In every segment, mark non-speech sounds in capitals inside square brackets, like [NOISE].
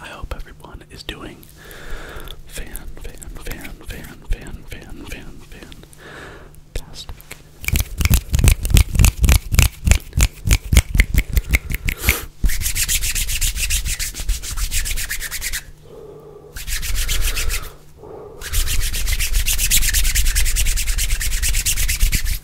I hope everyone is doing fan, fan, fan, fan, fan, fan, fan, fan, fantastic.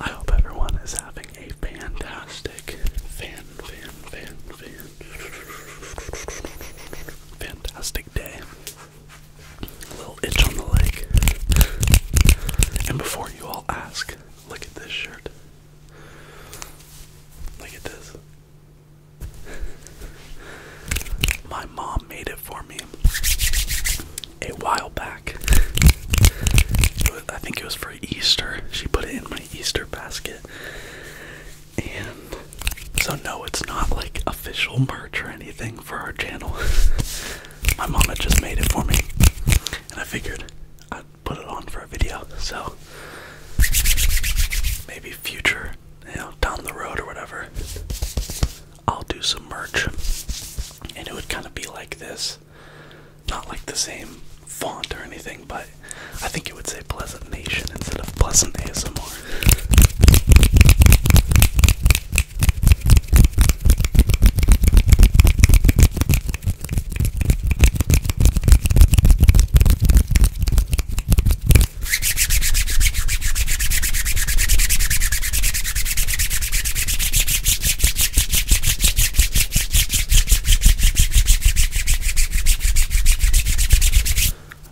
I hope everyone is having a fantastic fan, fan, fan, fan, fantastic day. A little itch on the leg. And before you all ask, look at this shirt. Look at this. My mom made it for me a while back. I think it was for Easter. She put it in my Easter basket. And so, no, it's not like official merch or anything for our channel. [LAUGHS] my mom just made it for me. And I figured I'd put it on for a video. So, maybe future you know, down the road or whatever, I'll do some merch. And it would kind of be like this. Not like the same font or anything, but I think it would say Pleasant Nation instead of Pleasant ASMR.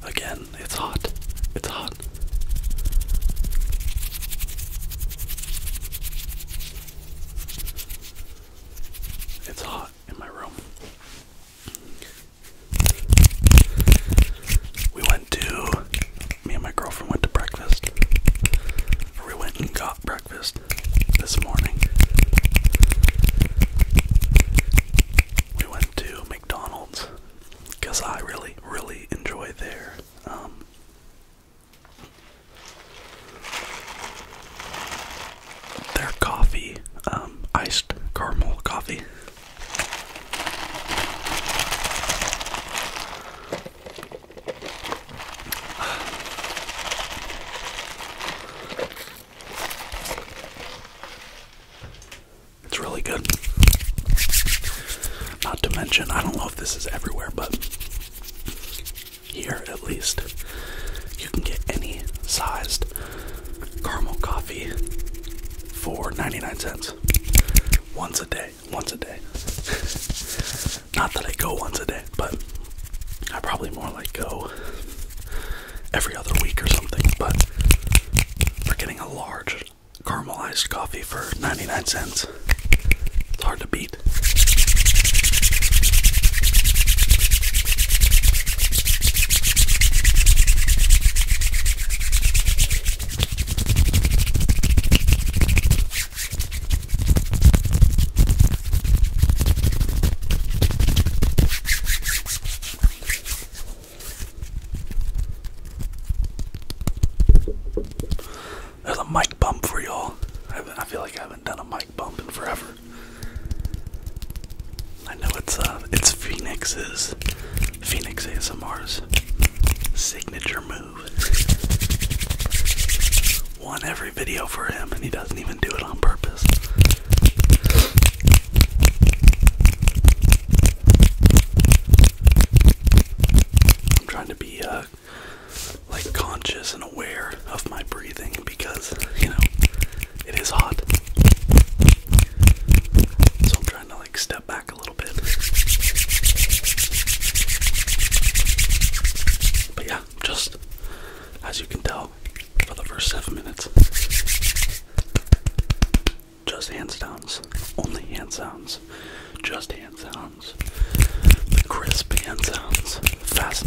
Again, it's hot. It's hot. It's hot in my room. We went to, me and my girlfriend went to breakfast. we went and got breakfast this morning. We went to McDonald's because I really, really enjoy there. Um, their coffee, um, iced caramel coffee. It's really good. Not to mention, I don't know if this is everywhere, but here at least. You can get any sized caramel coffee for 99 cents once a day. Once a day. [LAUGHS] Not that I go once a day, but I probably more like go every other week or something. But we're getting a large caramelized coffee for 99 cents. It's hard to beat. There's a mic bump for y'all. I feel like I've haven't done a mic bump in forever. I know it's uh, it's Phoenix's, Phoenix ASMR's signature move. Won every video for him, and he doesn't even do it on purpose. I'm trying to be uh, like conscious and aware of my breathing because, you know, it is hot. So I'm trying to like step back a little bit. But yeah, just as you can tell for the first seven minutes, just hand sounds, only hand sounds, just hand sounds, crisp hand sounds, fast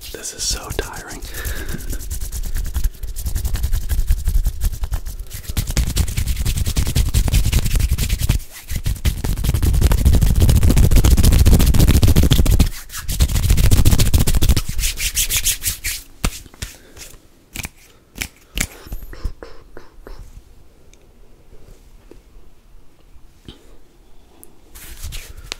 This is so tiring.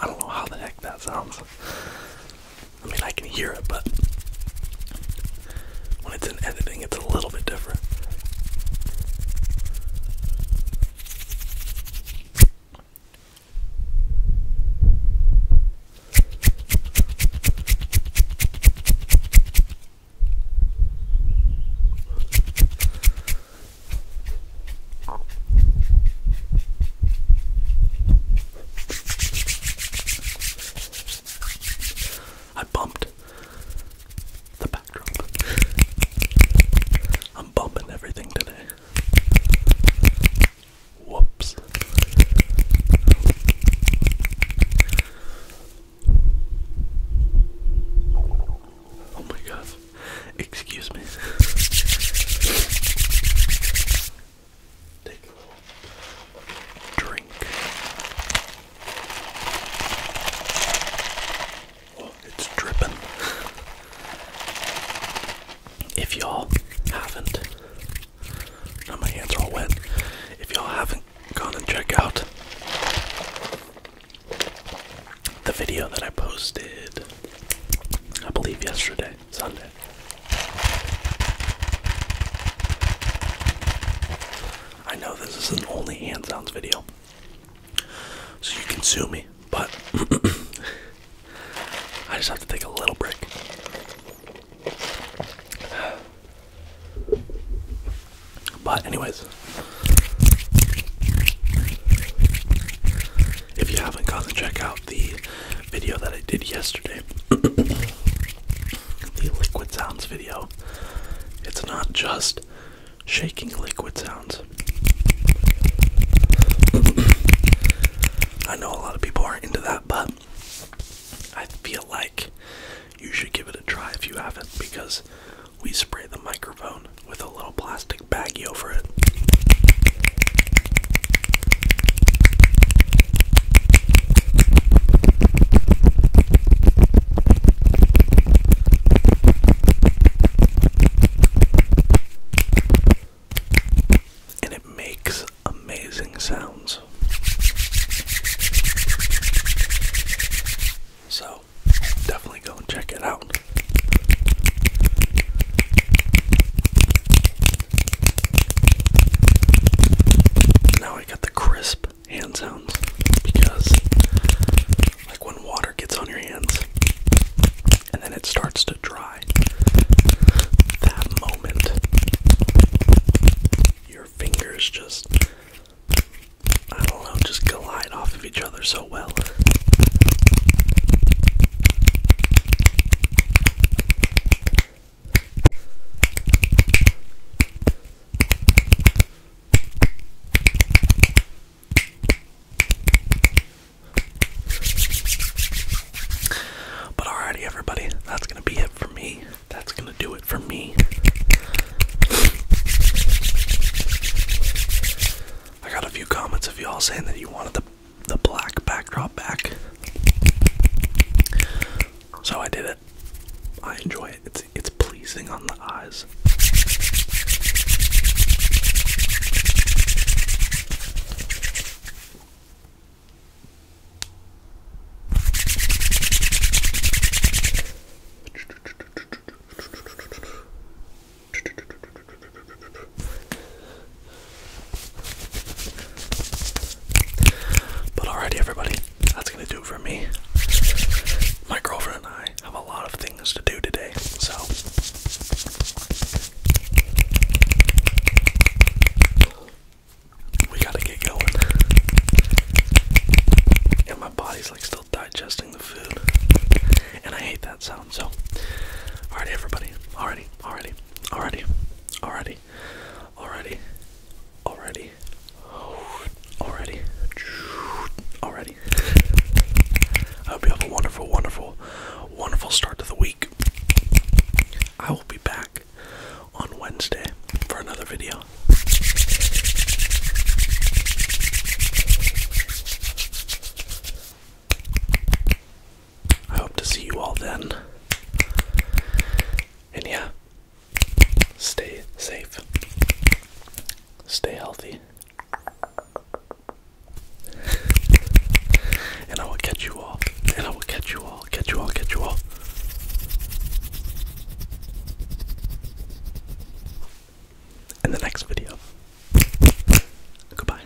I don't know how the heck that sounds. I mean, I can hear it, but when it's in editing, it's a little bit different. I bumped the backdrop. I'm bumping everything today. Whoops. Oh my gosh. Excuse me. Take a drink it's dripping. if y'all haven't, now my hands are all wet. If y'all haven't gone and check out the video that I posted, I believe yesterday, Sunday. I know this is an only hand sounds video, so you can sue me, but [CLEARS THROAT] I just have to take a little break. But, anyways, if you haven't gone and check out the video that I did yesterday, [CLEARS THROAT] the liquid sounds video. It's not just shaking liquid sounds. [CLEARS THROAT] I know a lot of people aren't into that, but I feel like you should give it a try if you haven't because we spray the microphone with a little plastic baggie over it. And it makes amazing sounds. So, definitely go and check it out. Now I got the crisp hand sounds because, like, when water gets on your hands and then it starts to dry, that moment, your fingers just, I don't know, just glide off of each other so well. But alrighty, everybody, that's gonna be it for me. That's gonna do it for me. I got a few comments of y'all saying that you wanted the the black backdrop back. So I did it. I enjoy it. It's it's pleasing on the eyes. But alrighty, everybody, that's gonna do for me. My girlfriend and I have a lot of things to do today, so. We gotta get going. And my body's like still digesting the food. And I hate that sound, so. Alrighty, everybody. Alrighty, alrighty, alrighty, alrighty already, already, already, already. I hope you have a wonderful, wonderful, wonderful start to the week. I will be back on Wednesday for another video. I hope to see you all then. And yeah, stay safe, stay healthy, and I will catch you all, and I will catch you all, catch you all, catch you all. In the next video. Goodbye.